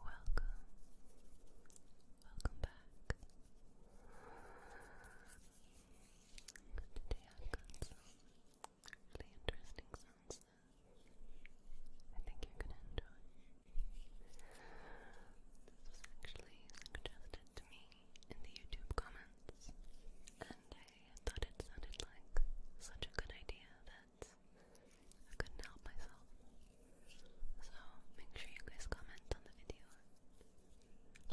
Welcome, welcome, welcome back. Today I've got some really interesting sounds I think you're gonna enjoy. This was actually suggested to me in the YouTube comments, and I thought it sounded like such a good idea that I couldn't help myself. So make sure you guys comment on the video.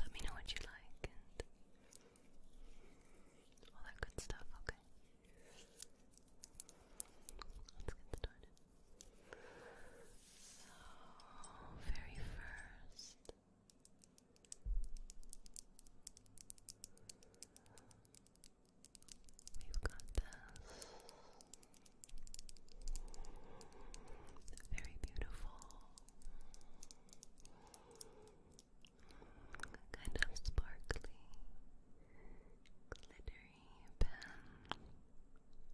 Let me know what you like and all that good stuff, okay? Let's get started. So, very first, We've got this very beautiful kind of sparkly glittery pen.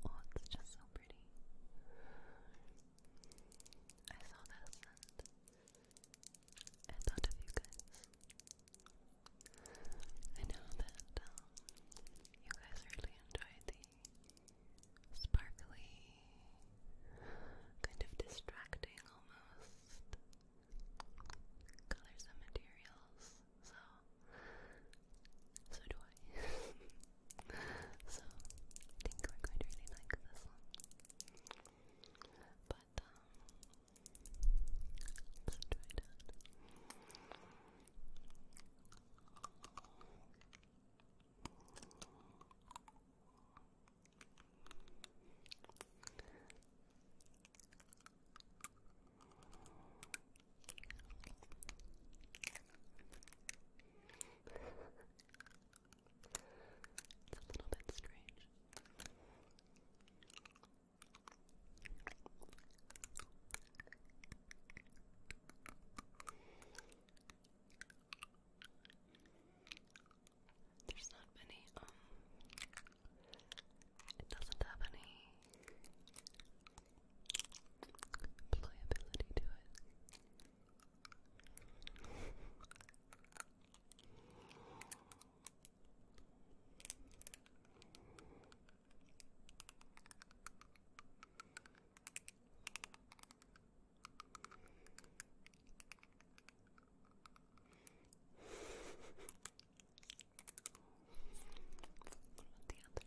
Oh, it's just so pretty. I saw this and I thought of you guys. I know that um, you guys really enjoy the sparkly, kind of distracting almost colors and materials. So, so do I. so, I think we're going to really like this one. But um let's try that. It's a little bit strange. There's not many, um, it doesn't have any playability to it. What about the other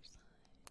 side?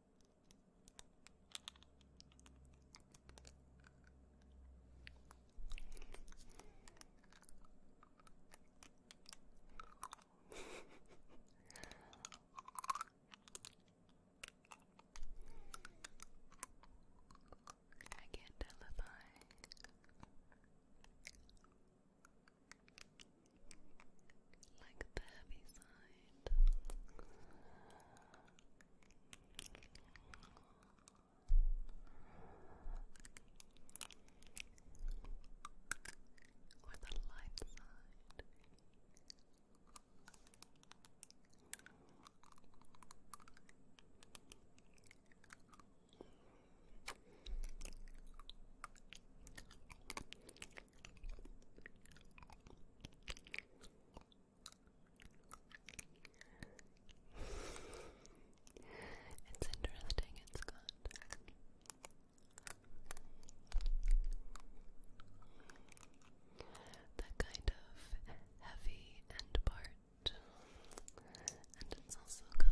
I get televised like the heavy side. Or the light side it's interesting, it's good. That kind of heavy end part, and it's also got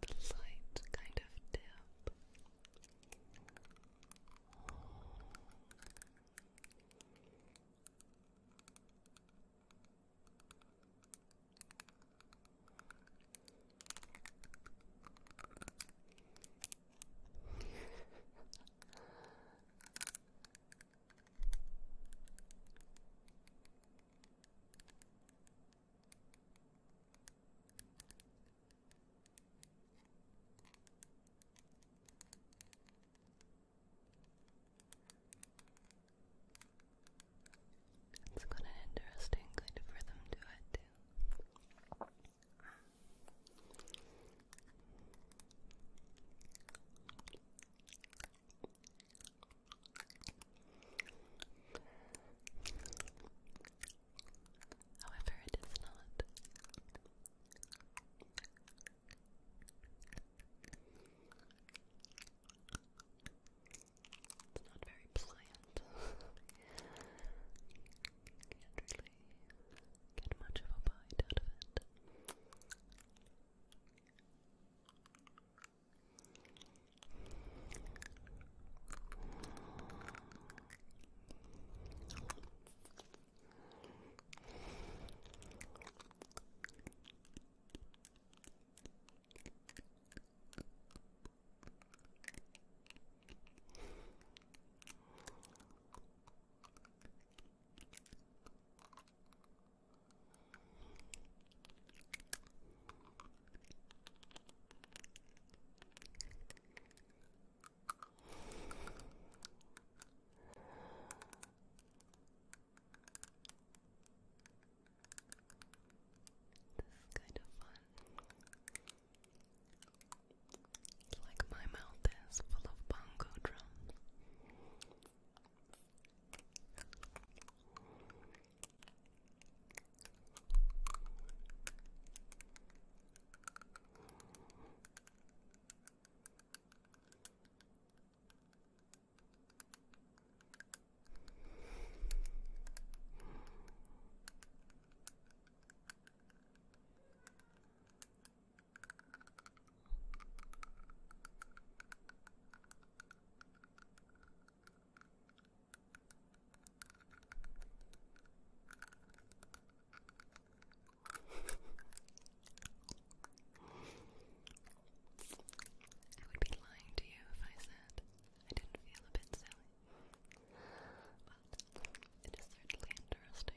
the lights kind of dip. It's got interesting kind of rhythm to it, However, it is not. It's not very pliant. can get much of a bite out of it. This is kind of fun like my mouth is full of bongo drums. I would be lying to you if I said I didn't feel a bit silly. But it is certainly interesting.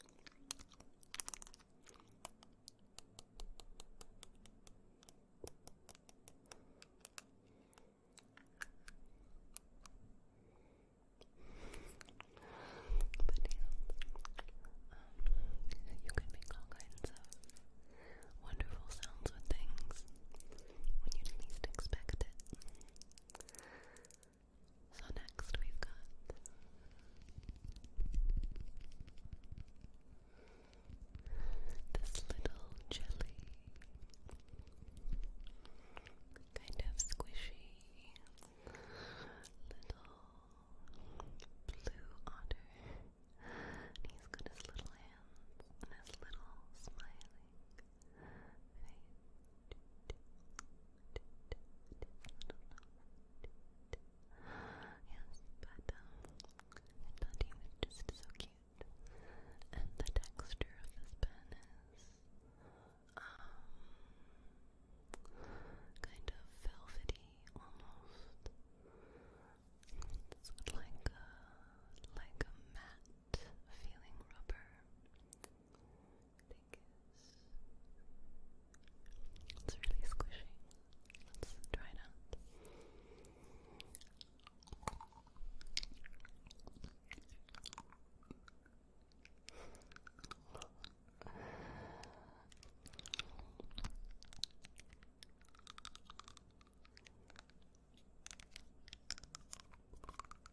um, you can make all kinds of wonderful sounds with things when you least expect it. So next we've got this little jelly, kind of squishy little blue otter. And he's got his little hands and his little smiling Yes, but um, I thought just so cute, and the texture of this pen is kind of velvety almost. It's like a like a matte feeling rubber. I it's really squishy. Let's try it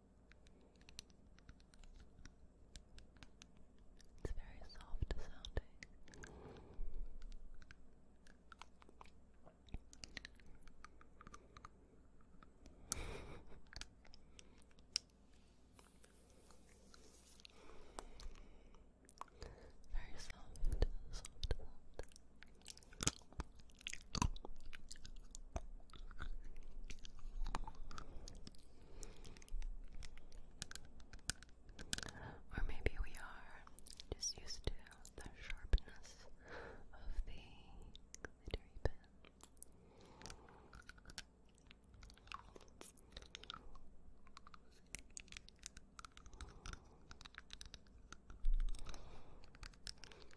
It's very soft sounding. Very soft, soft, soft. Or maybe we are just used to the sharpness of the glittery pen.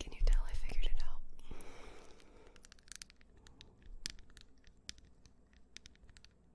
Can you tell I figured it out?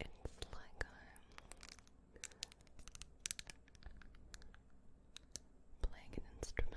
It's like I'm playing an instrument.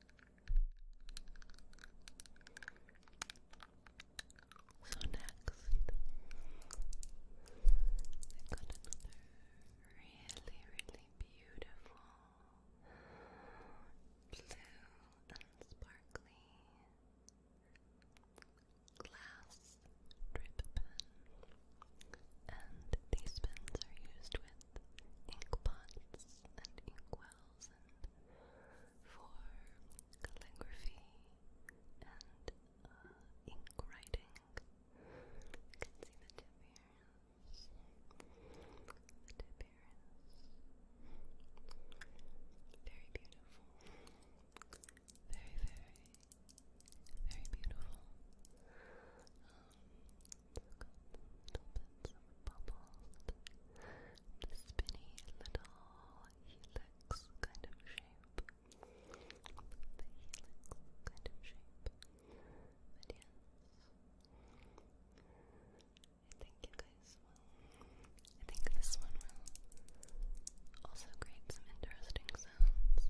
So next, I got another really, really beautiful blue and sparkly glass drip pen, and these pens are used with ink pots and ink wells. 2000 for calligraphy and ink writing. You can see the tip here. The tip here is very beautiful. Very, very, very beautiful. Um, little bits bubbles, the little helix kind of shape, the helix kind of shape, but yes, I think you guys will, I think this one will also create some interesting sounds.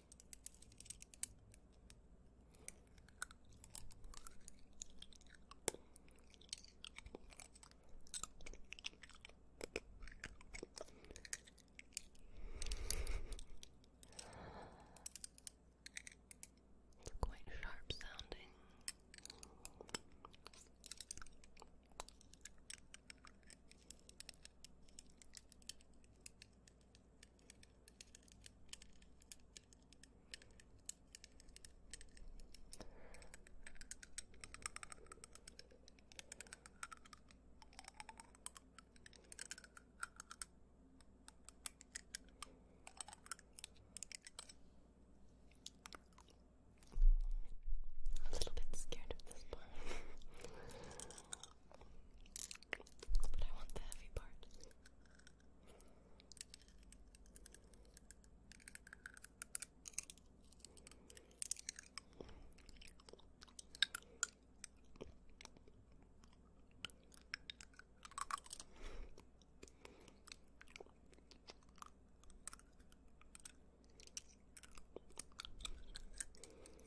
It's quite sharp sounding. I'm a little bit scared of this part. But I want the heavy part.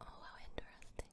Oh, how interesting.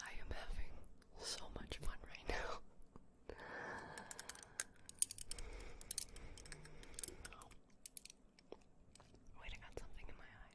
I am having so much fun right now. Wait, I got something in my eye.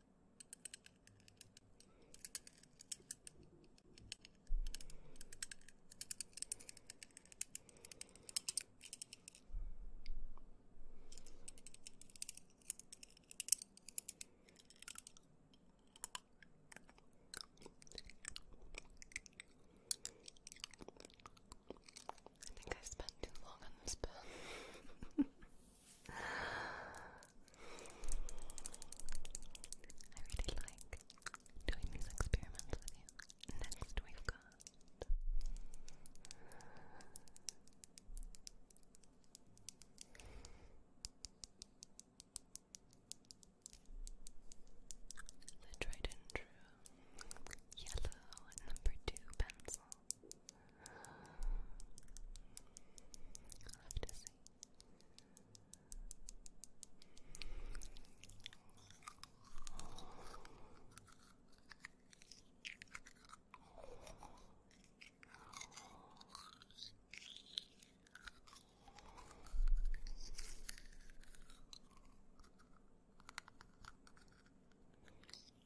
I think I spent too long on this pill. I really like doing these experiments with you. Next, we've got. The tried yellow number two pencil. I'll have to see.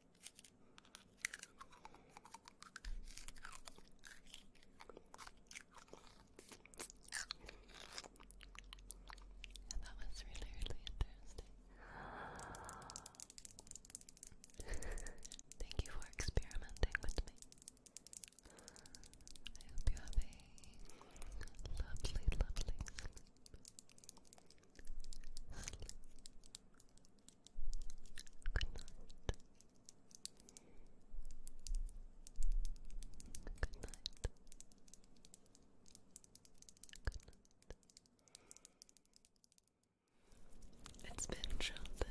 that was really, really interesting. Thank you for experimenting with me. I hope you have a lovely, lovely Sleep, Good night. It's been shown that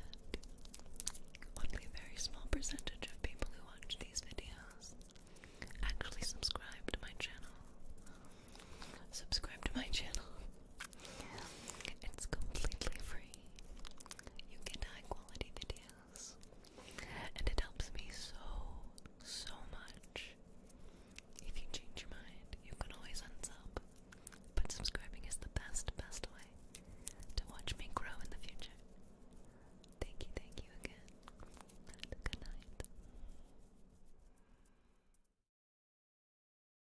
only very small percentage of people who watch these videos actually subscribe to my channel. Subscribe to my channel. It's completely free. You get high quality videos. And it helps me so, so much. If you change your mind, you can always unsub. But subscribing is the best, best way to watch me grow in the future. Thank you, thank you again. And good night.